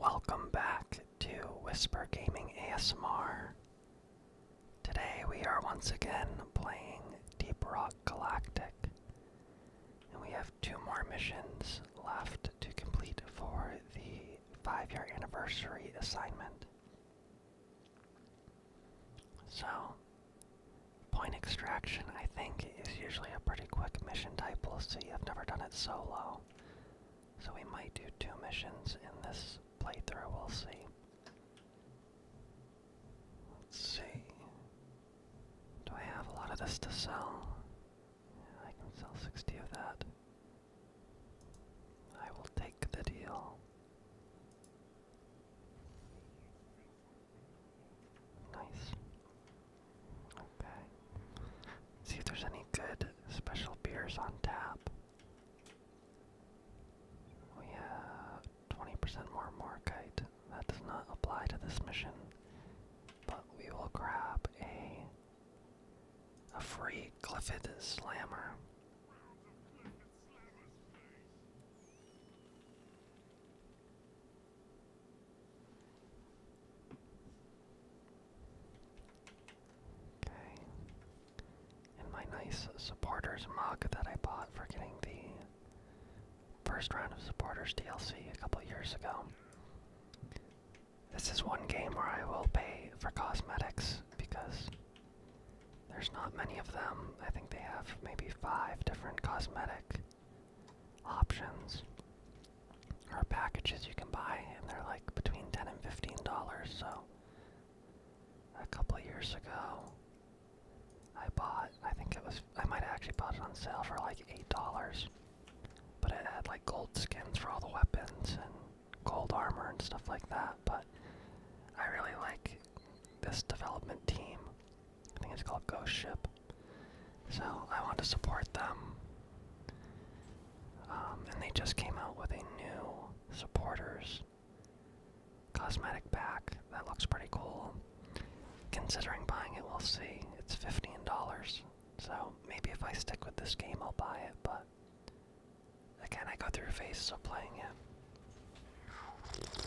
Welcome back to Whisper Gaming ASMR. Today we are once again playing Deep Rock Galactic, and we have two more missions left to complete for the five year anniversary assignment. So, point extraction, I think, is usually a pretty quick mission type. We'll see, I've never done it solo. So we might do two missions in this playthrough, we'll see. Let's see. Do I have a lot of this to sell? I can sell 60 of that. I will take the deal. 9 Okay. See if there's any good special beers on tap. We have 20% more Morkite. That does not apply to this mission, but we will grab a a free Glyphid Slammer. Okay. And my nice supporters mug that I bought for getting the first round of supporters DLC a couple years ago. This is one game where I will pay for cosmetics because there's not many of them. I think they have maybe five different cosmetic options are packages you can buy, and they're like between ten and fifteen dollars. So a couple of years ago, I bought. I think it was. I might have actually bought it on sale for like eight dollars, but it had like gold skins for all the weapons and gold armor and stuff like that. But I really like this development team. I think it's called Ghost Ship. So I want to support them. Um, and they just came out with a new supporters cosmetic pack that looks pretty cool. Considering buying it, we'll see. It's fifteen dollars, so maybe if I stick with this game, I'll buy it. But again, I go through phases of playing it.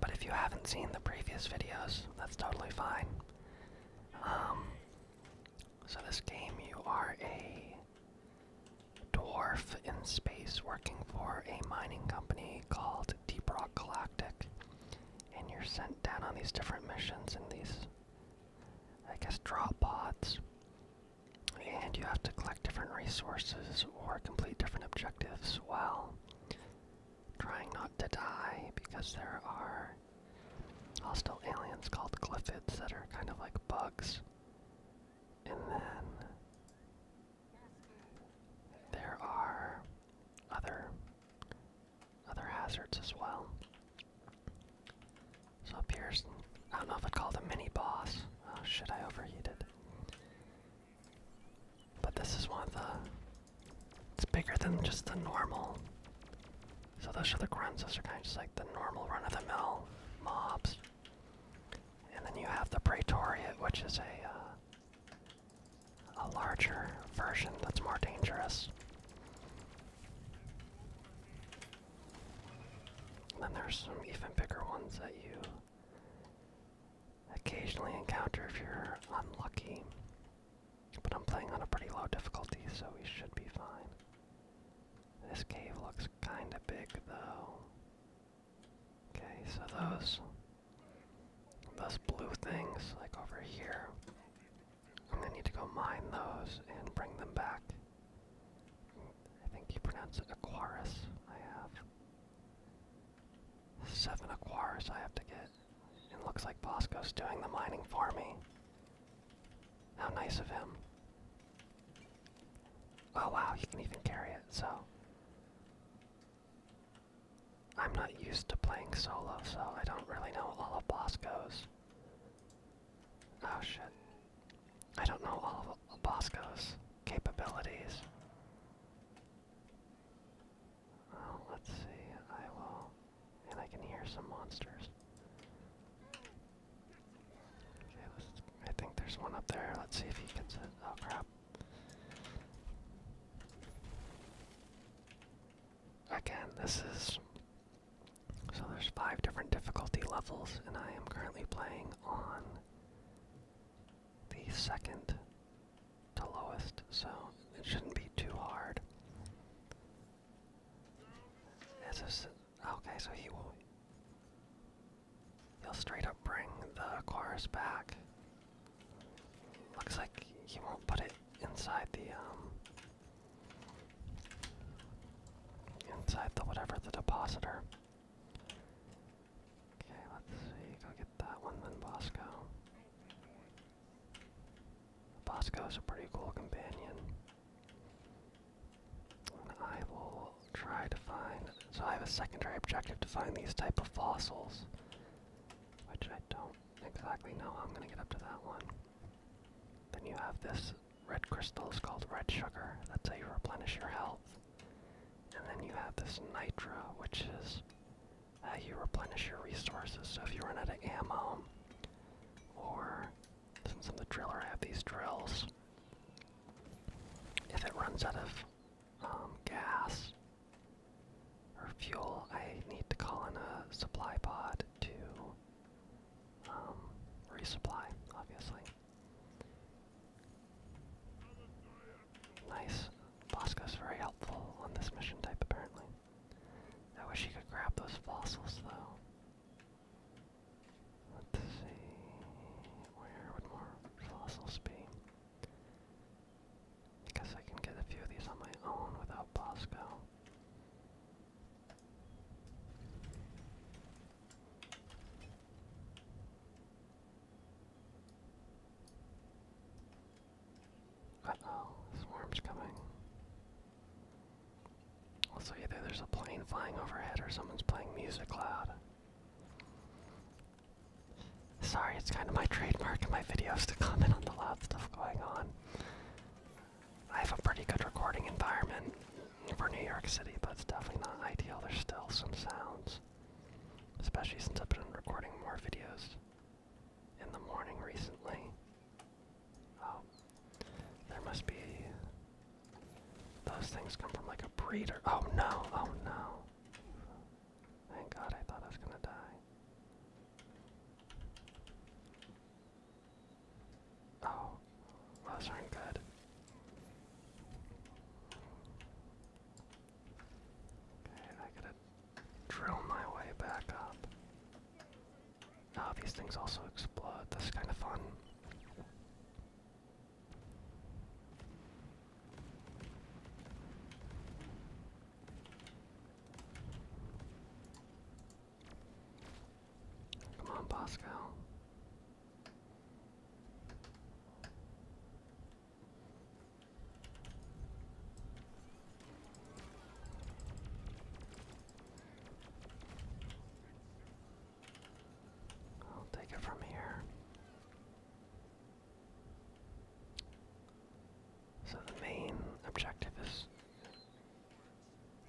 But if you haven't seen the previous videos, that's totally fine. Um, so this game, you are a dwarf in space working for a mining company called Deep Rock Galactic, and you're sent down on these different missions in these, I guess, drop pods. And you have to collect different resources or complete different objectives while trying not to die because there are hostile aliens called glyphids that are kind of like bugs. And then there are other other hazards as well. So appears I don't know if I'd call it a mini boss. Oh shit, I overheated. But this is one of the. It's bigger than just the normal. So those are the grunts, those are kind of just like the normal run of the mill mobs. And then you have the Praetoriate, which is a. Uh, a larger version that's more dangerous. And then there's some even bigger ones that you occasionally encounter if you're unlucky. But I'm playing on a pretty low difficulty, so we should be fine. This cave looks kinda big though. Okay, so those those blue things, like over here. I'm gonna need to go mine those and bring them back. I think you pronounce it Aquaris, I have. Seven Aquars I have to get. It looks like Bosco's doing the mining for me. How nice of him. Oh wow, he can even carry it, so. I'm not used to playing solo, so I don't really know all of Bosco's. Oh shit. I don't know all of Bosco's capabilities. Oh, let's see. I will. And I can hear some monsters. I think there's one up there. Let's see if he gets it. Oh crap. Again, this is. So there's five different difficulty levels, and I am currently playing on the second to lowest, so it shouldn't be too hard. okay, so he will. He'll straight up bring the chorus back. Looks like he won't put it inside the um, inside the whatever the depositor. Okay, let's see. Go get that one then, Bosco. Bosco is a pretty cool companion. I will try to find. So I have a secondary objective to find these type of fossils, which I don't exactly know how I'm going to get up to that one. Then you have this red crystal. It's called red sugar. That's how you replenish your health. And then you have this nitro, which is uh, you replenish your resources. So if you run out of ammo, or since I'm the driller, I have these drills. If it runs out of um, gas or fuel, I need to call in a supply pod to um, resupply, obviously. Nice. Bosco's very helpful on this mission type, apparently. I wish he could grab those fossils, though. Let's see... Where would more fossils be? I guess I can get a few of these on my own without Bosco. Uh oh, swarm's coming. Also, either there's a plane flying overhead or someone's playing music loud. Sorry, it's kind of my trademark in my videos to comment on the loud stuff going on. I have a pretty good recording environment for New York City, but it's definitely not ideal. There's still some sounds, especially since I've been recording more videos in the morning recently. Oh, there must be. Those things come from like a breeder. Oh no, oh no. Thank God I thought I was gonna die. Oh, those aren't good. I gotta drill my way back up. Now these things also explode. That's kind of fun. Come on, Pascal. I'll take it from here. So the main objective is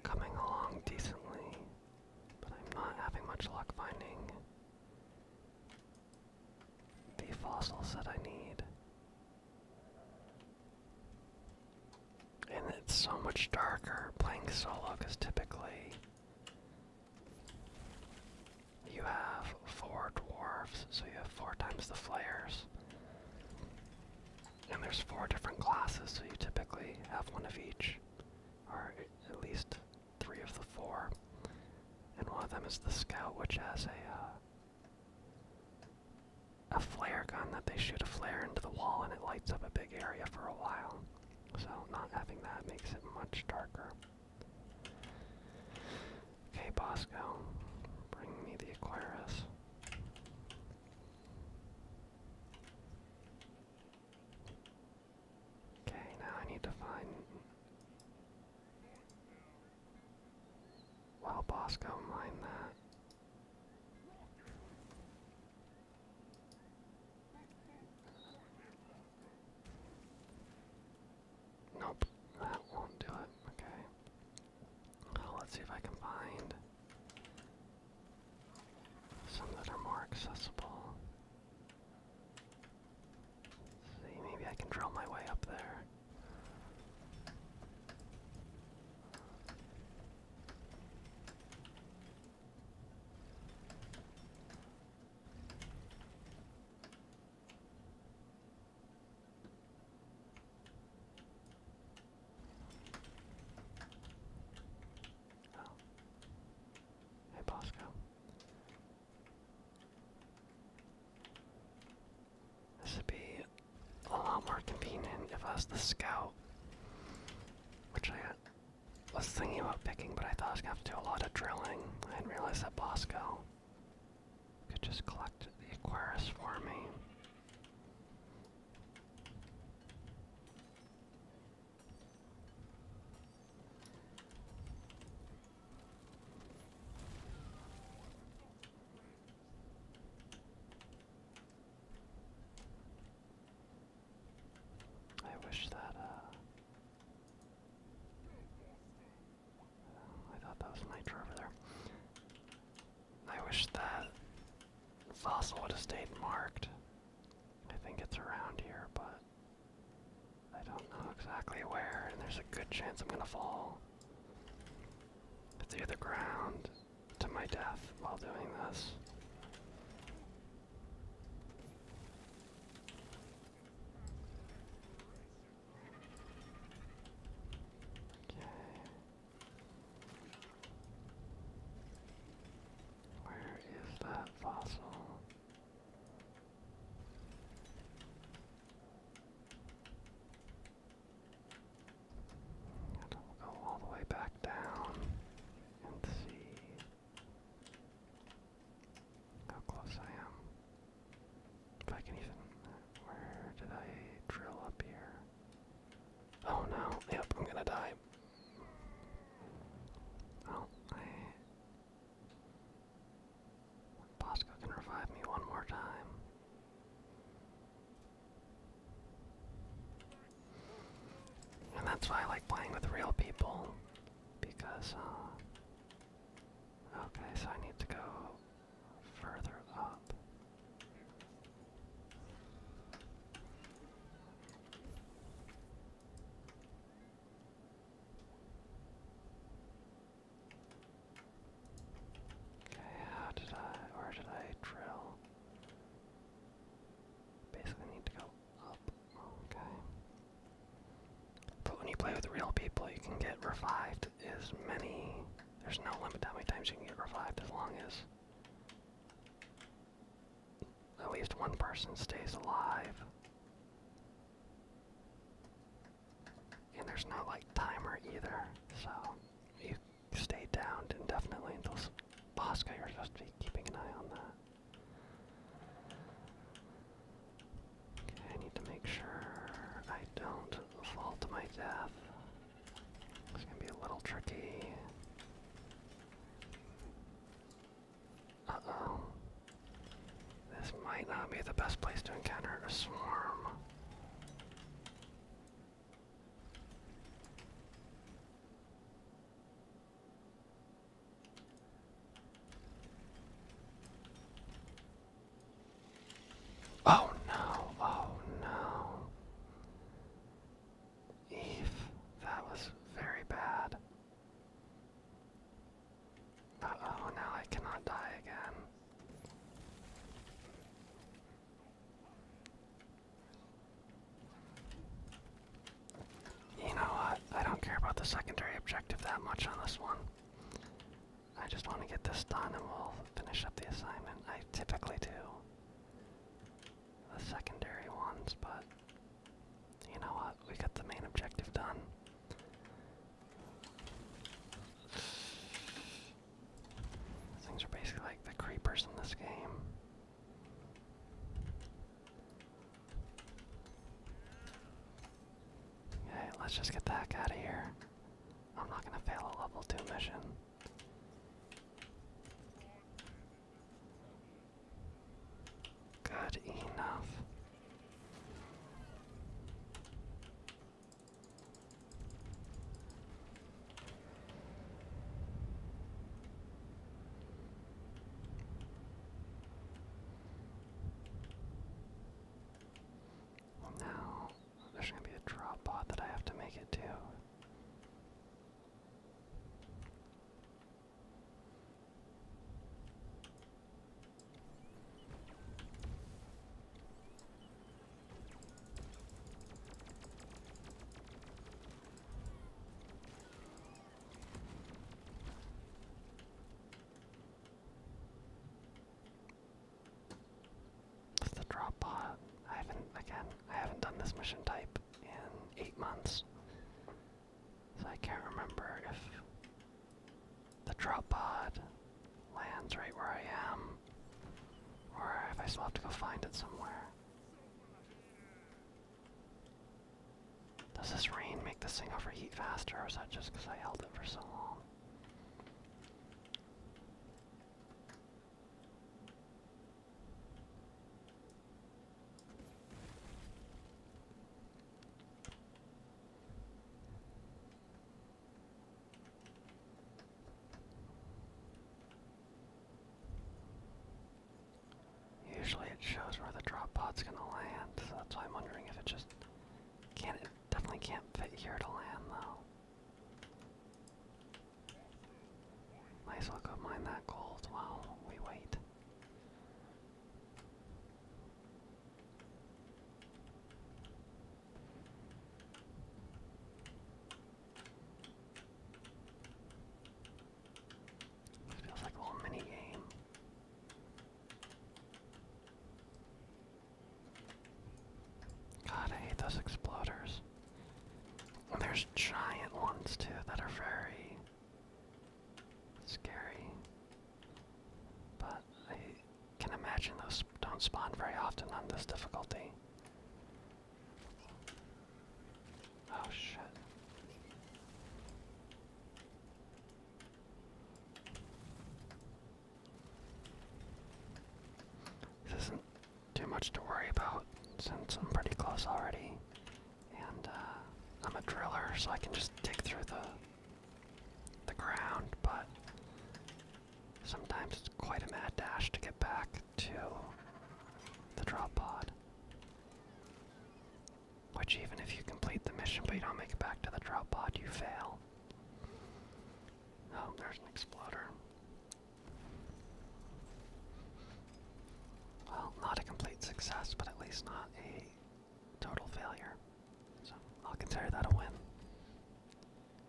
coming along decently, but I'm not having much luck finding the fossils that I need. And it's so much darker playing solo because typically you have four dwarves, so you have four times the flares. And there's four different classes, so you typically have one of each, or at least three of the four. And one of them is the scout, which has a uh, a flare gun that they shoot a flare into the wall and it lights up a big area for a while. So not having that makes it much darker. Okay, Bosco, bring me the Aquarius. Okay, now I need to find well, Bosco, mind that. Nope, that won't do it. Okay. let's see if I can find some that are more accessible. See, maybe I can drill my way up there. Oh. Hey Bosco. This would be a lot more convenient if I was the scout, which I was thinking about picking, but I thought I was gonna have to do a lot of drilling. I didn't realize that Bosco could just collect the Aquarius for me. I wish that, uh, I thought that was Nitro over there. I wish that fossil would have stayed marked. I think it's around here, but I don't know exactly where, and there's a good chance I'm gonna fall through the ground to my death while doing this. Okay. Where is that fossil? go all the way back down and see how close I am. If I can even. Where did I drill up here? Oh no, yep, I'm gonna die. Well, I Posco can revive me one more time. And that's why I like playing with real people. Because, uh, Okay, so I need to go further up. Okay, how did I, where did I drill? Basically need to go up, okay. But when you play with real people, you can get revived as many, there's no limit how many times you can get revived as long as at least one person stays alive. And there's no like timer either, so you stay downed indefinitely until Bosco. You're supposed to be keeping an eye on that. Okay, I need to make sure I don't fall to my death. It's gonna be a little tricky. Uh oh. This might not be the best place to encounter a swarm. Oh no, oh no. Eve, that was very bad. Uh oh, now I cannot die again. You know what? I don't care about the secondary objective that much on this one. I just want to get this done and we'll finish up the assignment. I typically do the secondary ones, but you know what? We got the main objective done. Things are basically like the creepers in this game. Okay, let's just get the heck out of here. I'm not gonna fail a level 2 mission. Good enough. Well, now there's going to be a drop pod that I have to make it to. That's the drop pod. I haven't again. I haven't done this mission type in eight months, so I can't remember if the drop pod lands right where I am. Or if I still have to go find it somewhere. Does this rain make this thing overheat faster, or is that just because I held it for so long? Usually it shows where the drop pod's gonna land, so that's why I'm wondering if it just can't definitely can't fit here to land though. Might as well go mine that gold while we wait. This feels like a little mini game. God, I hate those exploders. And there's giant ones too that are very scary. But I can imagine those don't spawn very often on this difficulty. Oh shit. This isn't too much to worry about since I'm pretty close already. And uh, I'm a driller, so I can just dig through the the ground, but Sometimes it's quite a mad dash to get back to the drop pod. Which, even if you complete the mission but you don't make it back to the drop pod, you fail. Oh, there's an exploder. Well, not a complete success, but at least not a total failure. So I'll consider that a win.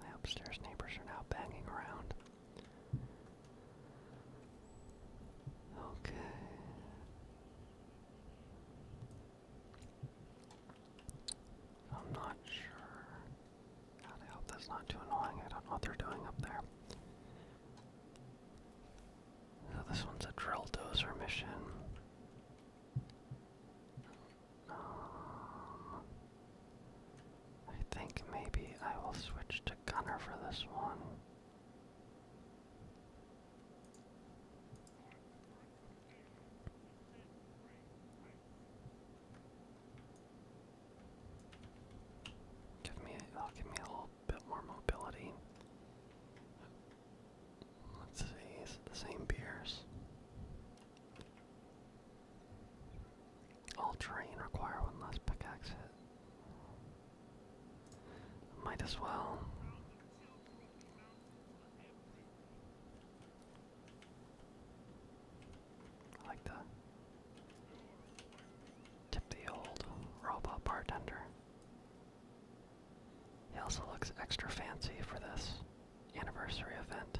My upstairs neighbors are now banging around. Okay. I'm not sure. God, I hope that's not too annoying. I don't know what they're doing up there. So this one's a drill dozer mission. Um, I think maybe I will switch to Gunner for this one. Give me, that'll give me a little bit more mobility. Let's see, is it the same beers? All terrain require one less pickaxe Might as well. I like to tip the old robot bartender. He also looks extra fancy for this anniversary event.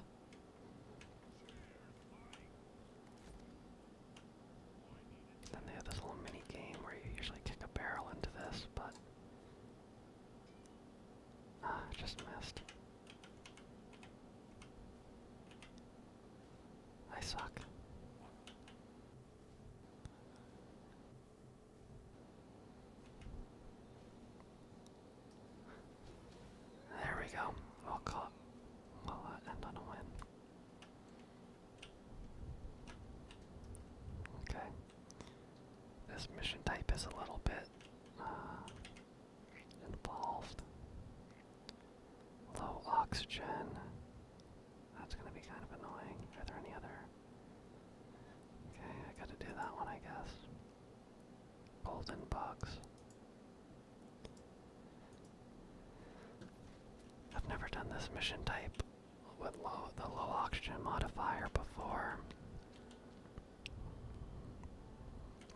Then they have this little mini game where you usually kick a barrel into this, but ah, just missed. I suck. There we go. We'll well, that end on a win. Okay. This mission type is a little bit uh, involved. Low oxygen. That's going to be kind of annoying. Are there any other? Okay, I gotta do that one, I guess. Golden bugs. I've never done this mission type with the low oxygen modifier before.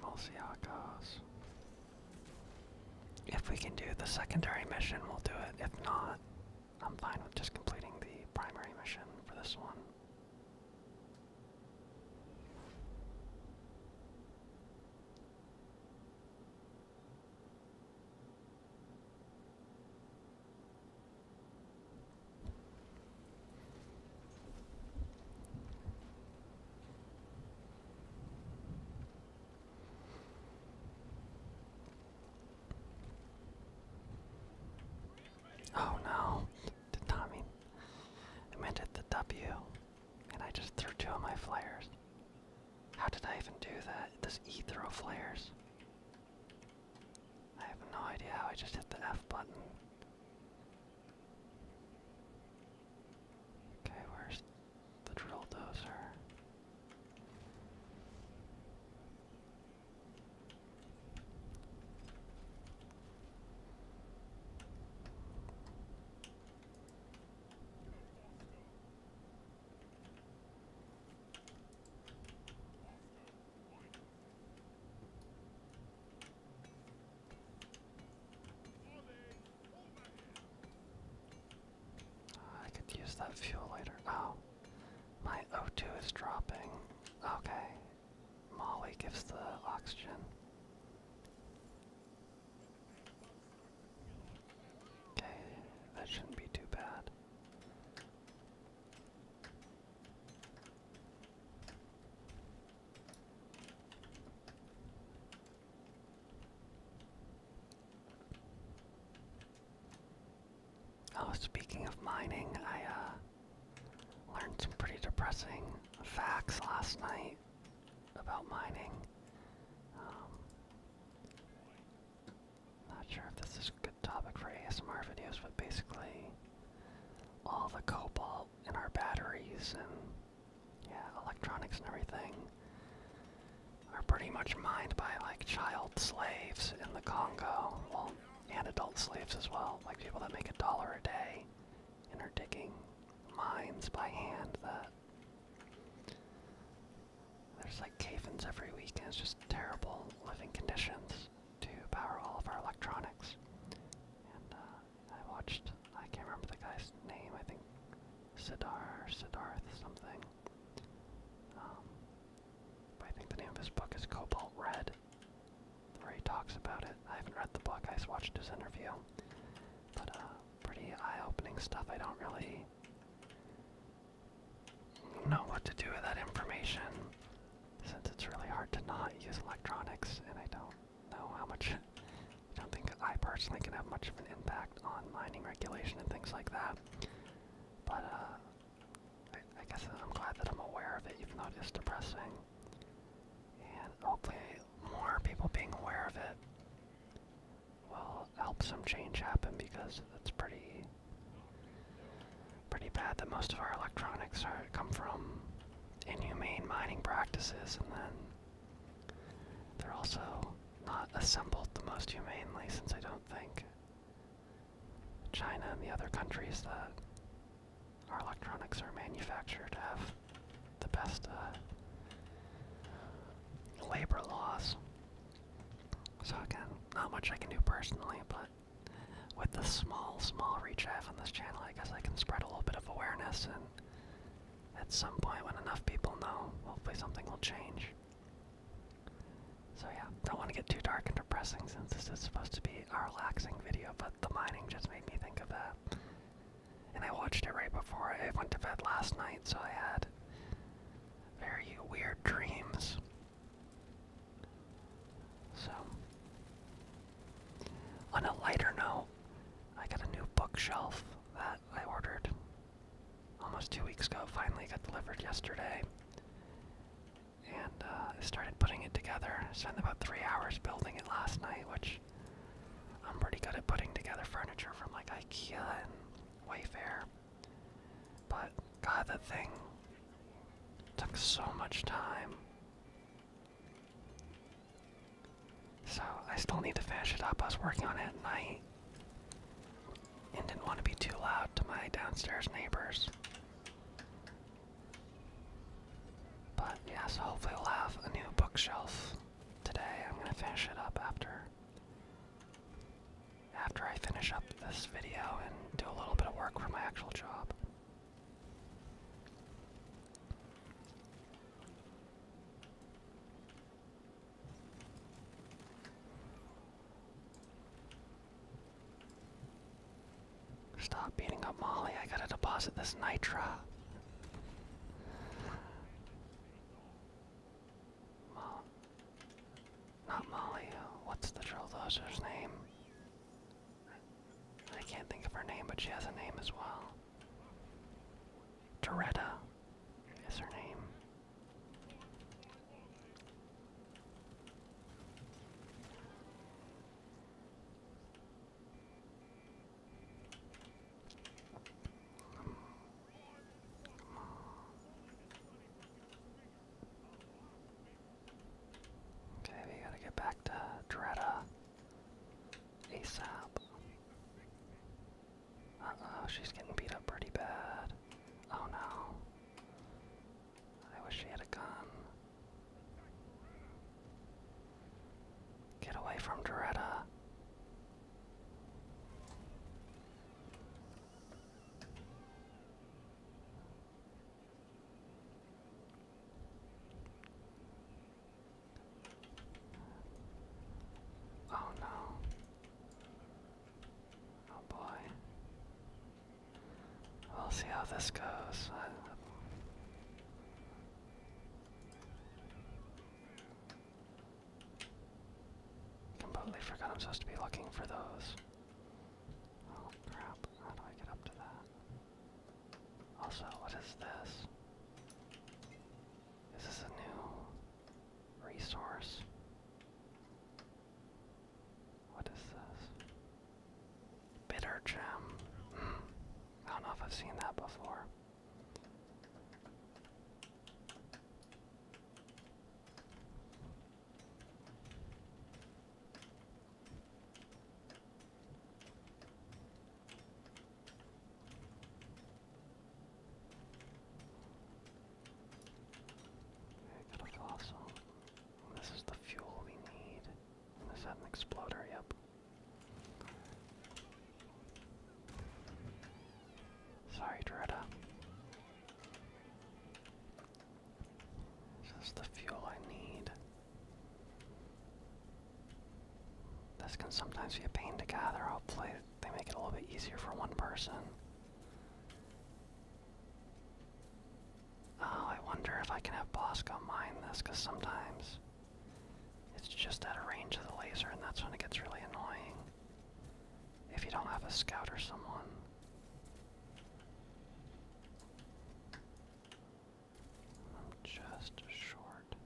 We'll see how it goes. If we can do the secondary mission, we'll do it. If not, I'm fine with just completing the primary mission for this one. Oh no, the Tommy. I meant it the W. And I just threw two of my flares. How did I even do that? This E throw flares. I have no idea how I just hit the F button. Okay, where's the drill dozer? Ah, I could use that fuel later. Oh, my O2 is dropping. Okay, Molly gives the oxygen. Okay, that shouldn't be too bad. Oh, speaking of mining, I uh, learned some pretty depressing facts last night about mining. Um, not sure if this is a good topic for ASMR videos, but basically all the cobalt in our batteries and yeah, electronics and everything are pretty much mined by like child slaves in the Congo, well, and adult slaves as well, like people that make a dollar a day and are digging mines by hand that there's like cave-ins every week, and it's just terrible living conditions to power all of our electronics. And uh, I watched, I can't remember the guy's name, I think Siddhar, Siddharth something. Um, I think the name of his book is Cobalt Red, where he talks about it. I haven't read the book, I just watched his interview. But uh, pretty eye-opening stuff. I don't really know what to do with that information since it's really hard to not use electronics and I don't know how much I don't think I personally can have much of an impact on mining regulation and things like that. But uh, I, I guess I'm glad that I'm aware of it even though it is depressing. And hopefully more people being aware of it will help some change happen because that's pretty pretty bad that most of our electronics are come from inhumane mining practices and then they're also not assembled the most humanely since I don't think China and the other countries that our electronics are manufactured have the best uh, labor laws. So again, not much I can do personally, but with the small, small reach I have on this channel, I guess I can spread a little bit of awareness, and at some point when enough people know, hopefully something will change. So yeah, don't want to get too dark and depressing since this is supposed to be a relaxing video, but the mining just made me think of that and I watched it right before I went to bed last night, so I had very weird dreams. So, on a lighter note, I got a new bookshelf that I ordered almost two weeks ago. Finally got delivered yesterday. And uh, I started putting it together. Spent about three hours building it last night, which I'm pretty good at putting together furniture from like IKEA and Wayfair. But god that thing took so much time. So I still need to finish it up. I was working on it at night and didn't want to be too loud to my downstairs neighbors. But yes, hopefully we'll have a new bookshelf today. I'm gonna finish it up after after I finish up this video and do a little bit of work for my actual job. Stop beating up Molly. I gotta deposit this Nitra. Mol not Molly. Uh, what's the troll daughter's name? I can't think of her name, but she has a name as well. Doretta is her name. Okay, we gotta get back to Dretta ASAP. Uh oh, she's getting beat up pretty bad. Oh no. I wish she had a gun. Get away from Doretta. Oh no. Oh boy. We'll see how this goes. Completely forgot I'm supposed to be looking for those. Oh crap, how do I get up to that? Also, what is this? Is this a new resource? What is this? Bitter gem. Hmm. I don't know if I've seen that before. Got a fossil. This is the fuel we need. Is that an exploder? Yep. Sorry, Dreda. This the fuel I need. This can sometimes be a pain to gather. Hopefully, they make it a little bit easier for one person. Oh, I wonder if I can have Bosco mine this, because sometimes it's just out of range of the laser, and that's when it gets really annoying. If you don't have a scout or someone. I'm just short.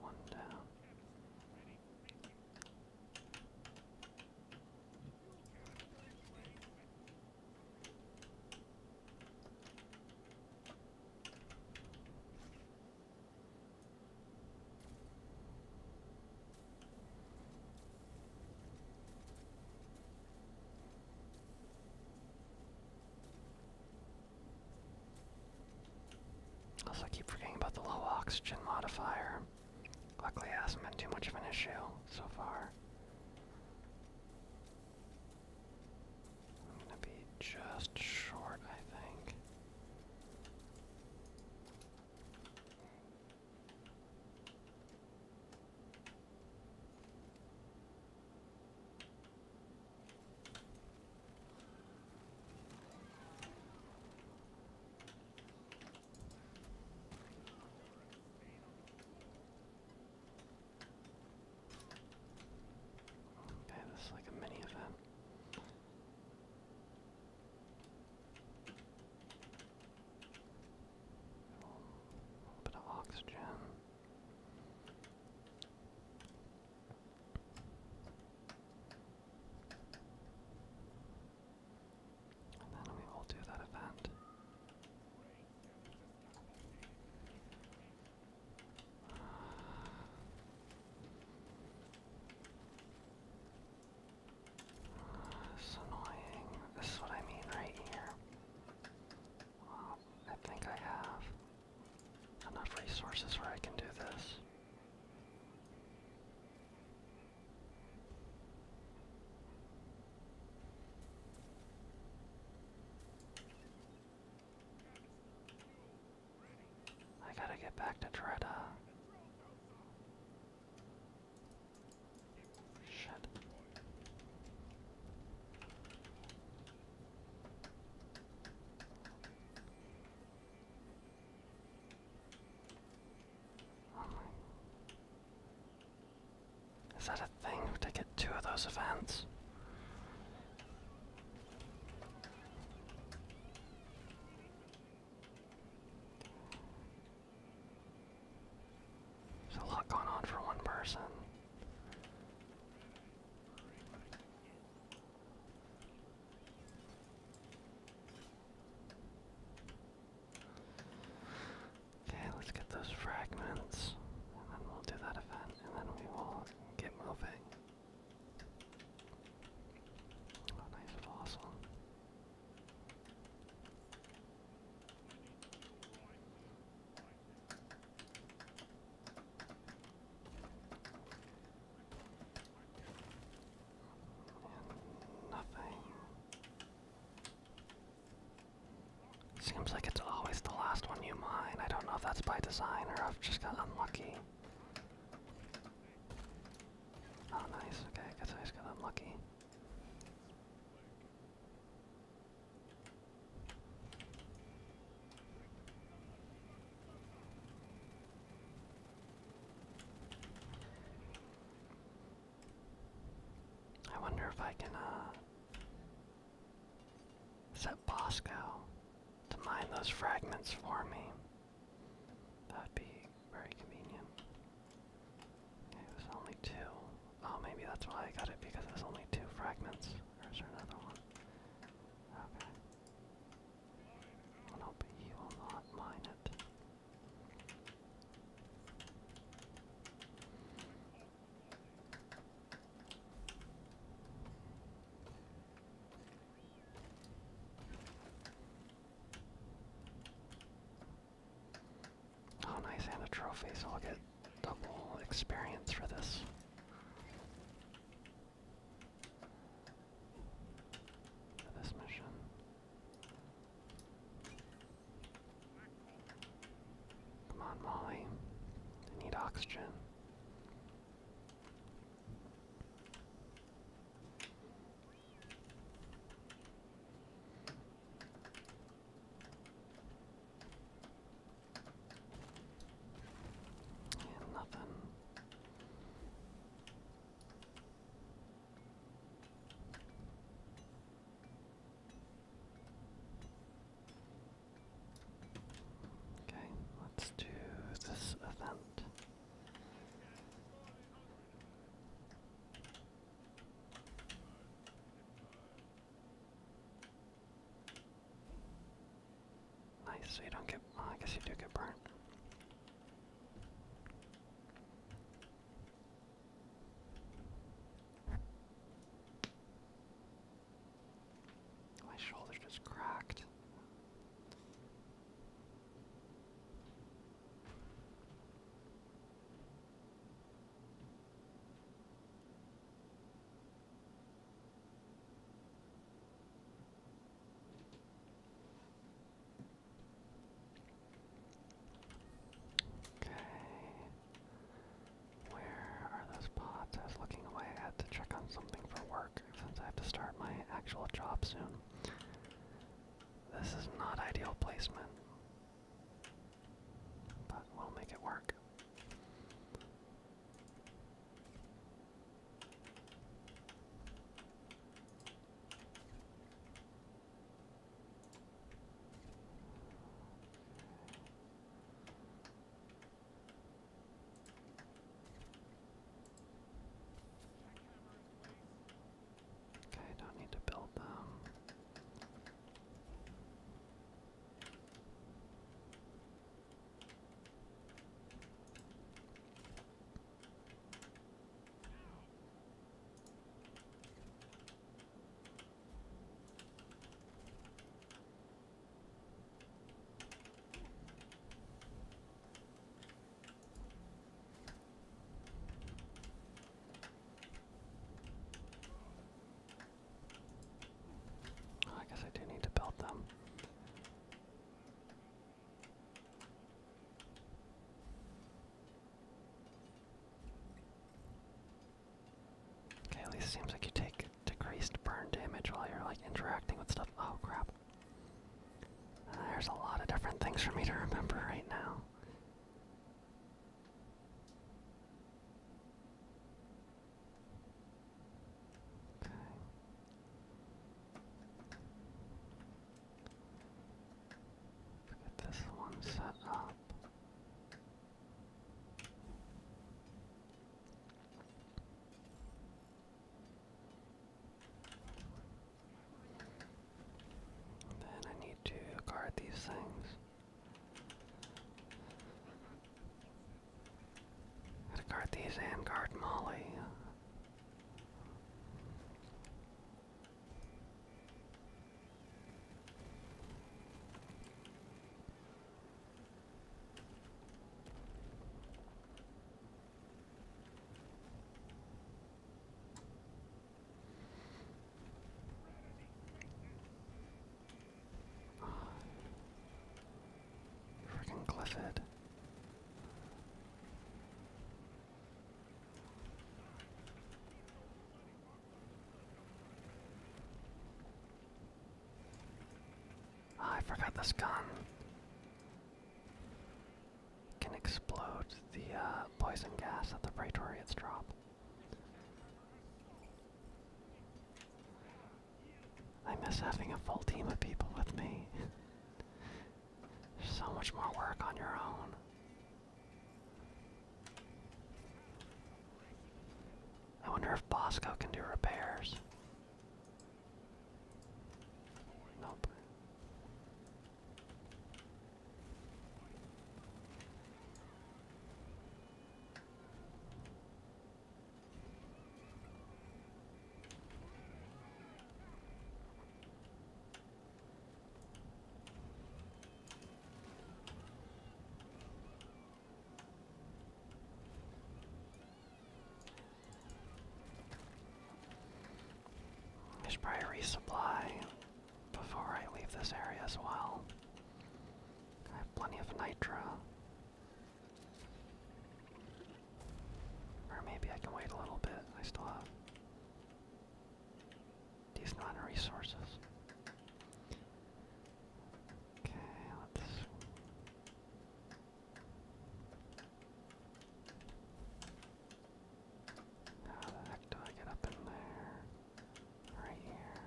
one down. Also, I keep forgetting about the low oxygen modifier. Luckily, it hasn't been too much of an issue so far. I'm gonna be just short, I think. Okay, this is like a mini event. bit of oxygen. And then we will do that event. It's annoying. This is what I mean right here. I think I have enough resources where I can do this. I gotta get back to Dreda. Shit. Is that a thing to get two of those events? There's a lot going on for one person. Okay, let's get those fragments, and then we'll do that event, and then we will get moving. Oh, nice fossil. nothing. Seems like it's always the last one you mine. I don't know if that's by design or I've just got unlucky. Oh, nice. Okay, guess I just got unlucky. I wonder if I can, uh, Set Bosco to mine those fragments for me. That would be very convenient. it was only two. Oh, maybe that's why I got it, because it only two fragments. Or another one? Okay. Well, no, he will not mine it. Oh, nice, and a trophy, I'll get double experience for this. For this mission. Come on, Molly. I need oxygen. nothing. Okay, let's do this event. Nice, so you don't get, I guess you do get burned. My shoulder just cracked. Okay. Where are those pods? I was looking away. I to check on something for work since I have to start my actual job soon. This is not ideal placement, but we'll make it work. Okay, don't need to build them. Oh, I guess I do need to build them. Okay, at least it seems like you take decreased burn damage while you're like interacting with stuff. Oh crap. Uh, there's a lot of different things for me to remember right now. Okay. Get this one set up. Then I need to guard these things. guard these and guard Molly. Freaking Clifford. Ah, I forgot this gun. can explode the uh, poison gas that the Praetorians drop. I miss having a full team of people with me. so much more work on your own. I wonder if Bosco can do repairs. I should probably resupply before I leave this area as well. I have plenty of nitro. Or maybe I can wait a little bit. I still have decent resources. Okay, How the heck do I get up in there? Right here.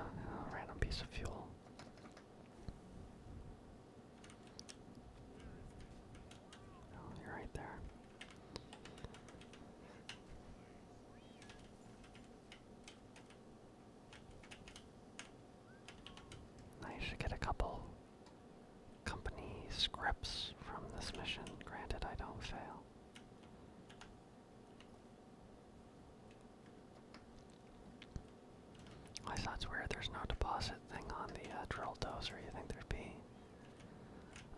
random piece of fuel. Oh, right there. I should get a couple company scripts from this mission. Granted, I don't fail. Unless that's where there's no deposit thing on the uh, drill dozer, you think there'd be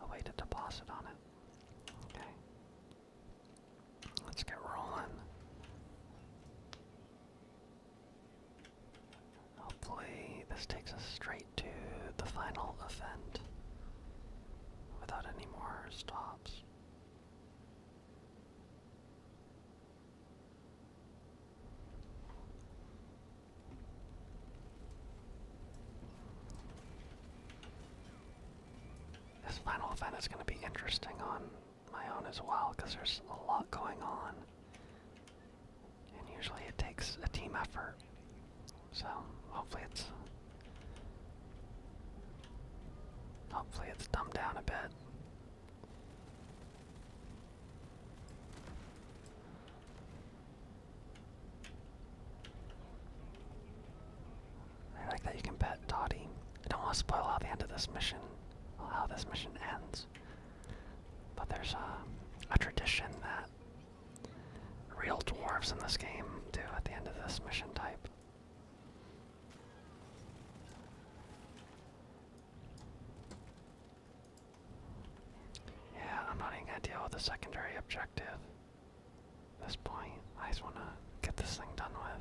a way to deposit on it. Okay. Let's get rolling. Hopefully, this takes us straight to the final event without any more stops. This final event is going to be interesting on my own as well because there's a lot going on. And usually it takes a team effort. So hopefully it's hopefully it's dumbed down a bit. I like that you can pet Dottie. I don't want to spoil how the end of this mission, how this mission ends. But there's a tradition that real dwarves in this game do at the end of this mission type. Yeah, I'm not even gonna deal with the secondary objective. this point, I just wanna get this thing done with.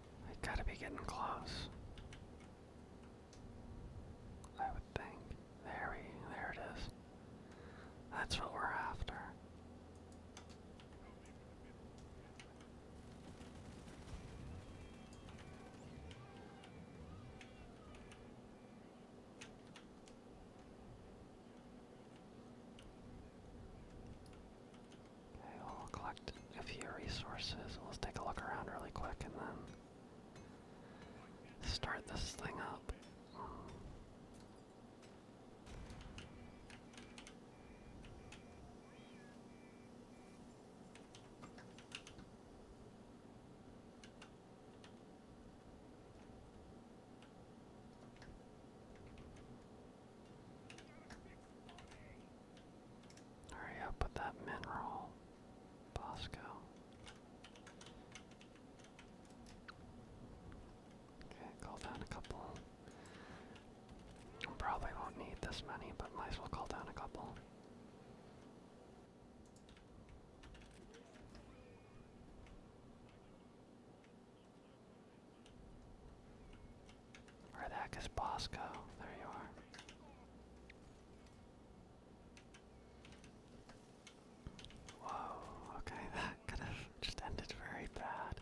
We gotta be getting close. I would think. There we there it is. That's what we're after. Okay, we'll collect a few resources. Let's take a look around really quick and then start this thing up. Hurry up with that mineral, Bosco. Okay, call down a couple. Probably won't need this many, but might as well call down a couple. Where the heck is Bosco? There you are. Whoa, okay, that could have just ended very bad.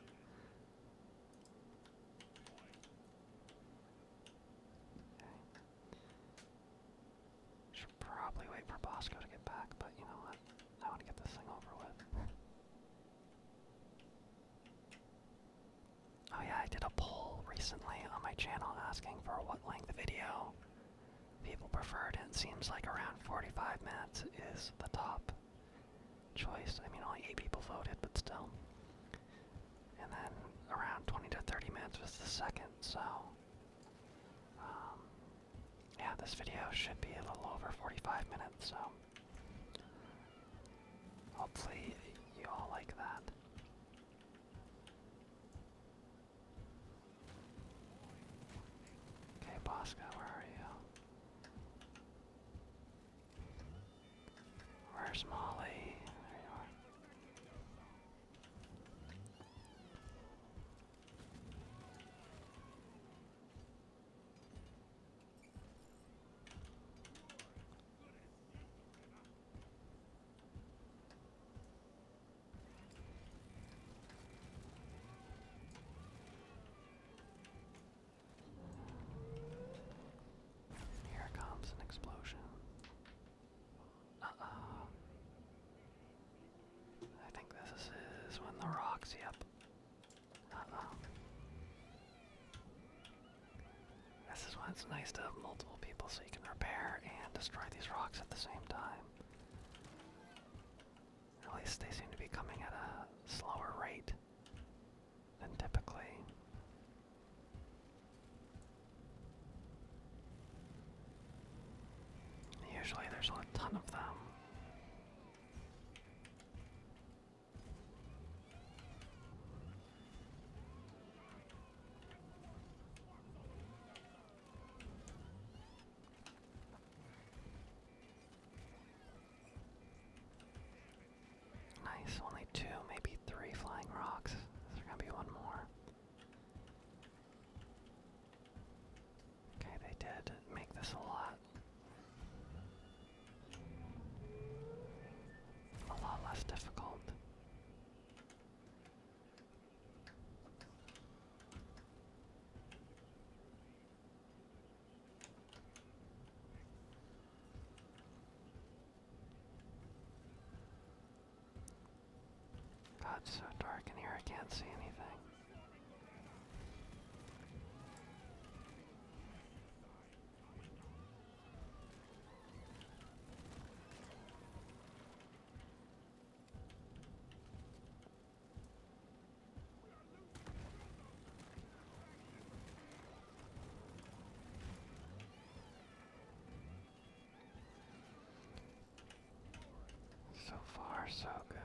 Should probably wait for Bosco to get back, but you know what? I want to get this thing over with. Oh yeah, I did a poll recently on my channel asking for what length video people preferred, and it seems like around 45 minutes is the top choice. I mean, only 8 people voted, but still. And then around 20 to 30 minutes was the second, so. Um, yeah, this video should be a little over 45 minutes, so. Hopefully, you all like that. Okay, Bosco, where are you? Where's Molly? There you are. Here comes an explosion. Uh-oh. I think this is when the rocks, yep. This is why it's nice to have multiple people so you can repair and destroy these rocks at the same time. At least they seem to be coming at a slower rate than typically. Usually there's a ton of them. Nice, only two, maybe three flying rocks. There's gonna be one more. Okay, they did make this a lot a lot less difficult. God, it's so dark in here, I can't see anything. So far, so good.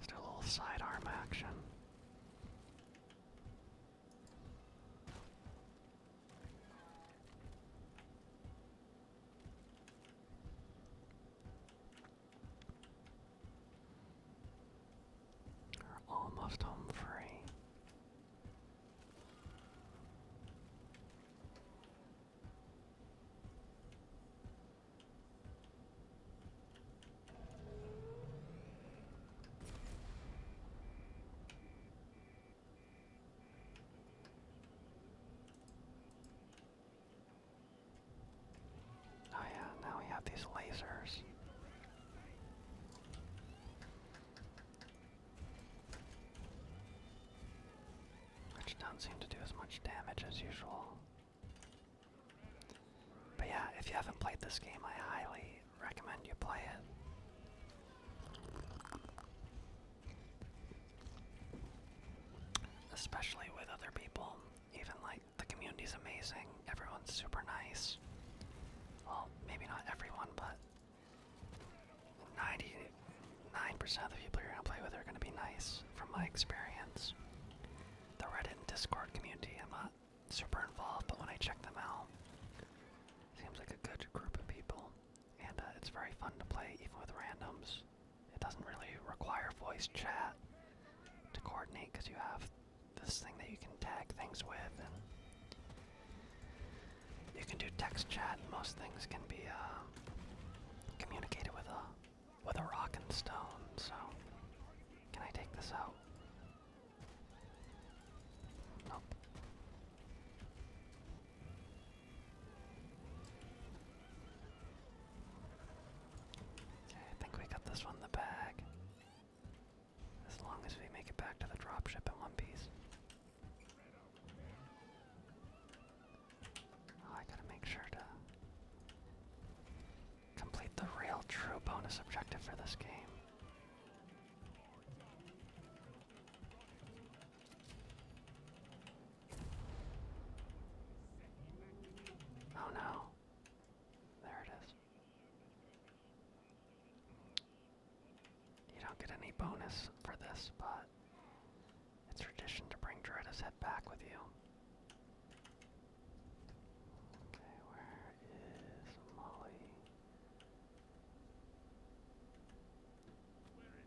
Let's a little sidearm action. We're almost home free. Oh yeah, now we have these lasers. Which don't seem to do as much damage as usual. But yeah, if you haven't played this game, I highly recommend you play it. Especially with other people. Even like the community's amazing, everyone's super nice. Well, maybe not everyone, but 99% of the people you're gonna play with are gonna be nice, from my experience the Reddit and Discord community. I'm not super involved, but when I check them out, seems like a good group of people, and uh, it's very fun to play even with randoms. It doesn't really require voice chat to coordinate because you have this thing that you can tag things with, and you can do text chat. And most things can be uh, communicated with a with a rock and stone, so can I take this out? Nope. Okay, I think we got this one the bag. As long as we make it back to the dropship in one piece. Oh, I gotta make sure to Complete the real true bonus objective for this game. Oh no. There it is. You don't get any bonus for this, but it's tradition to bring Dreda's head back with you. Okay, where is Molly? you? There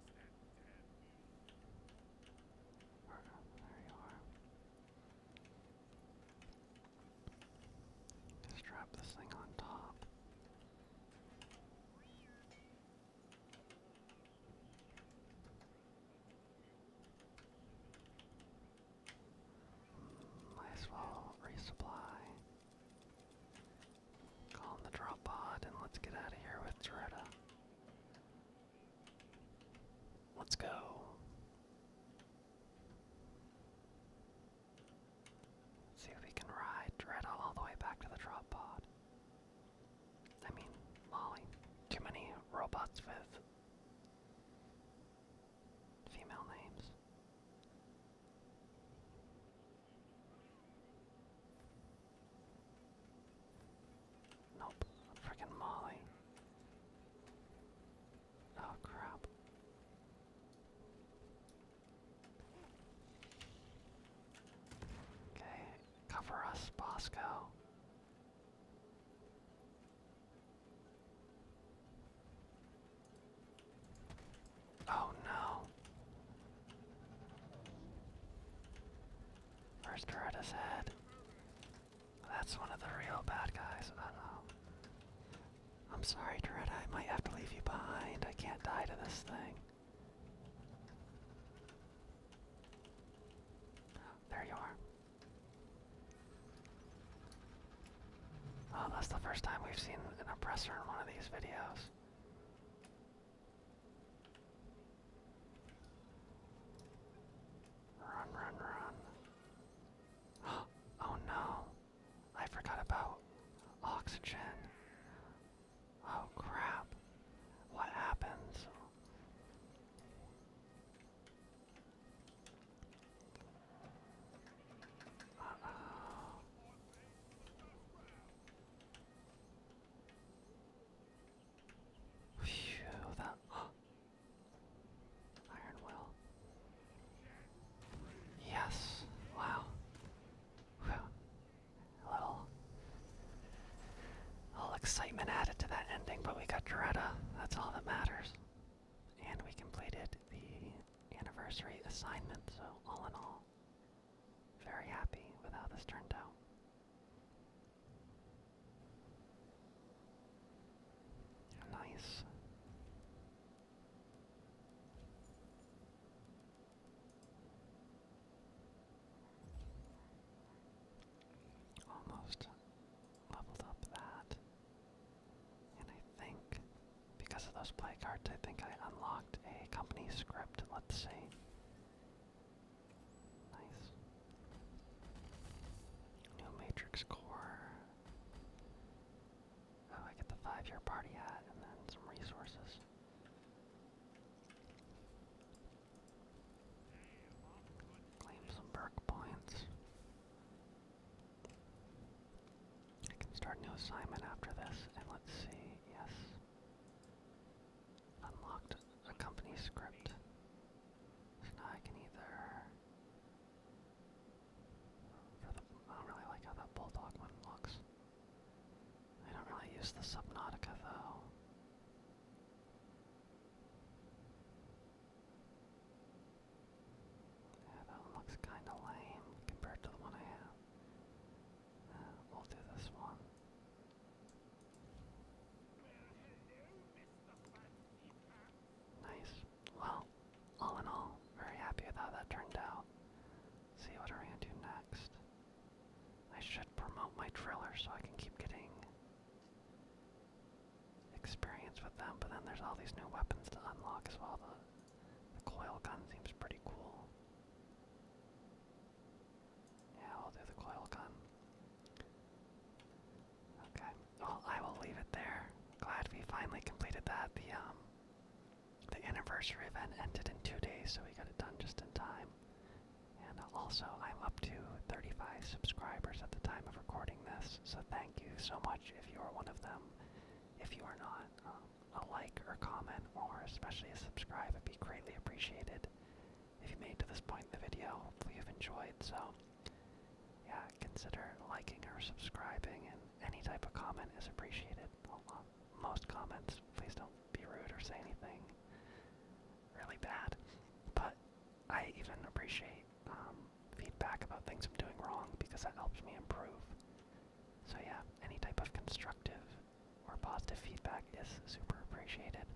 you are. Strap this thing on top. Might as well resupply. Call in the drop pod and let's get out of here with Toretta. Let's go. See if we can ride Dredd all the way back to the drop pod. I mean, Molly. Too many robots with female names. Nope, freaking Molly. Oh crap. Okay, cover us, Bosco. Oh no. First her head. That's one of the real bad guys, I am sorry, Doretta, I might have to leave you behind. I can't die to this thing. There you are. Oh, that's the first time we've seen an oppressor in one of these videos. Run, run, run. Oh no! I forgot about oxygen. Oh crap. What happens? Phew, that Iron Will. Yes. Wow. A little, a little excitement added to that ending, but we got Doretta. That's all that matters and we completed the anniversary assignment, so all in all, very happy with how this turned out. Nice. Almost leveled up that. And I think because of those play cards, I think I unlocked a company script. Let's see. Nice. New Matrix Core. Oh, I get the five year party hat and then some resources. Claim some perk points. I can start new assignment after this, and let's see. Yes. Unlocked a company script. I can either. I don't really like how that bulldog one looks. I don't really use the Subnautica though. Yeah, that one looks kind of lame compared to the one I have. Uh, we'll do this one. Nice. Well, all in all, very happy with how that turned out. See what we're do next. I should promote my driller so I can keep getting experience with them, but then there's all these new weapons to unlock as well. The, coil gun seems pretty cool. Yeah, I'll do the coil gun. Okay, well, I will leave it there. Glad we finally completed that. The, um, the anniversary event ended in two days, so we got it done just in time. And also, I'm up to 35 subscribers at the time of recording this, so thank you so much if you are one of them. If you are not, um, a like or comment or especially a subscribe would be greatly appreciated. If you made to this point in the video, hopefully you've enjoyed. So yeah, consider liking or subscribing and any type of comment is appreciated. Uh, most comments, please don't be rude or say anything really bad. But I even appreciate um, feedback about things I'm doing wrong because that helps me improve. So yeah, any type of constructive or positive feedback is super appreciated.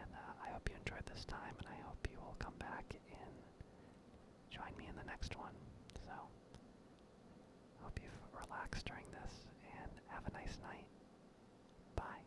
And uh, I hope you enjoyed this time, and I hope you will come back and join me in the next one. So, hope you've relaxed during this, and have a nice night. Bye.